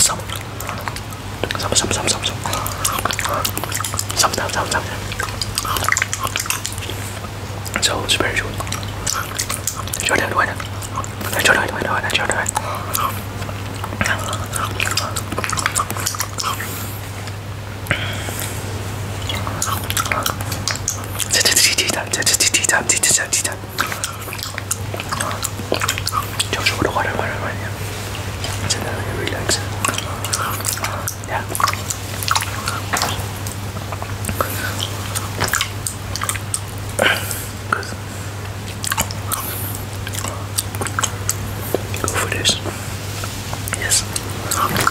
Some, some, some, some, some, some, some, some, some, some. So it's very good. Jordan, Jordan, Jordan, Jordan, Jordan. 就是我的花生花生软点，真的很 relax。Yeah. Go for this. Yes.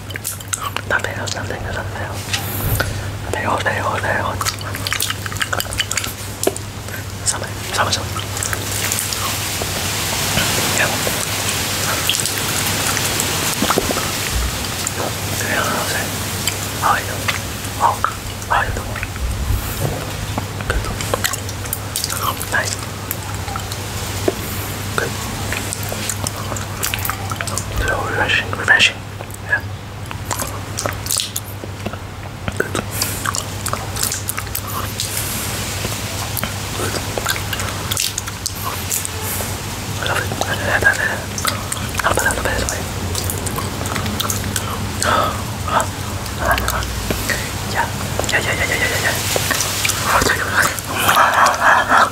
食べよう食べよう食べよう食べよう食べよう寒い寒い寒いいやはいはいはいはい So refreshing, refreshing. Yeah. Good. Good. I love it. I love it. I love it. I love it. Yeah. Yeah, yeah, yeah, yeah, yeah, yeah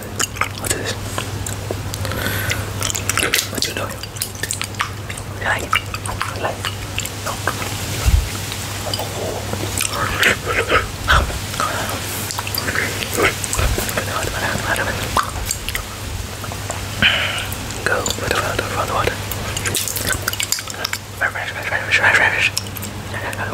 What's this? What's this? What you doing? You like it? You like it? No. Go with the water, for the water. Refresh, refresh, refresh, refresh.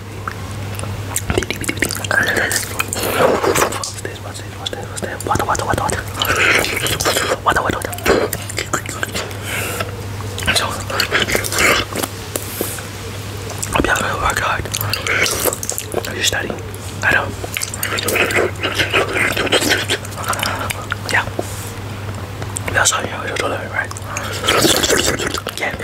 What's this? What's this? What's this? What's this? Water, water, water, water. Water, water, water. So, hope y'all gonna work hard. Are you studying? I know. Yeah. That's how you know you're doing it, right? Yeah.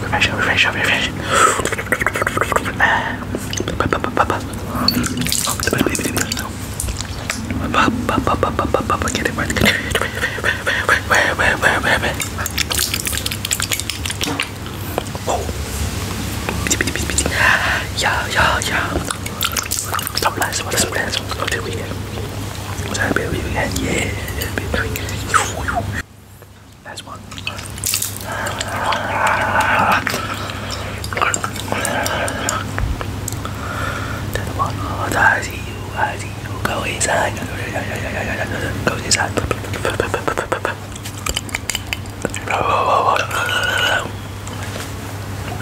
Refresh, refresh, refresh. Get it right. Where, where, where, where, where? Oh. Yeah, yeah, yeah. Stop lying, what is plans? What's the weekend? What's happy weekend? Yeah, happy Last one. That one. Oh,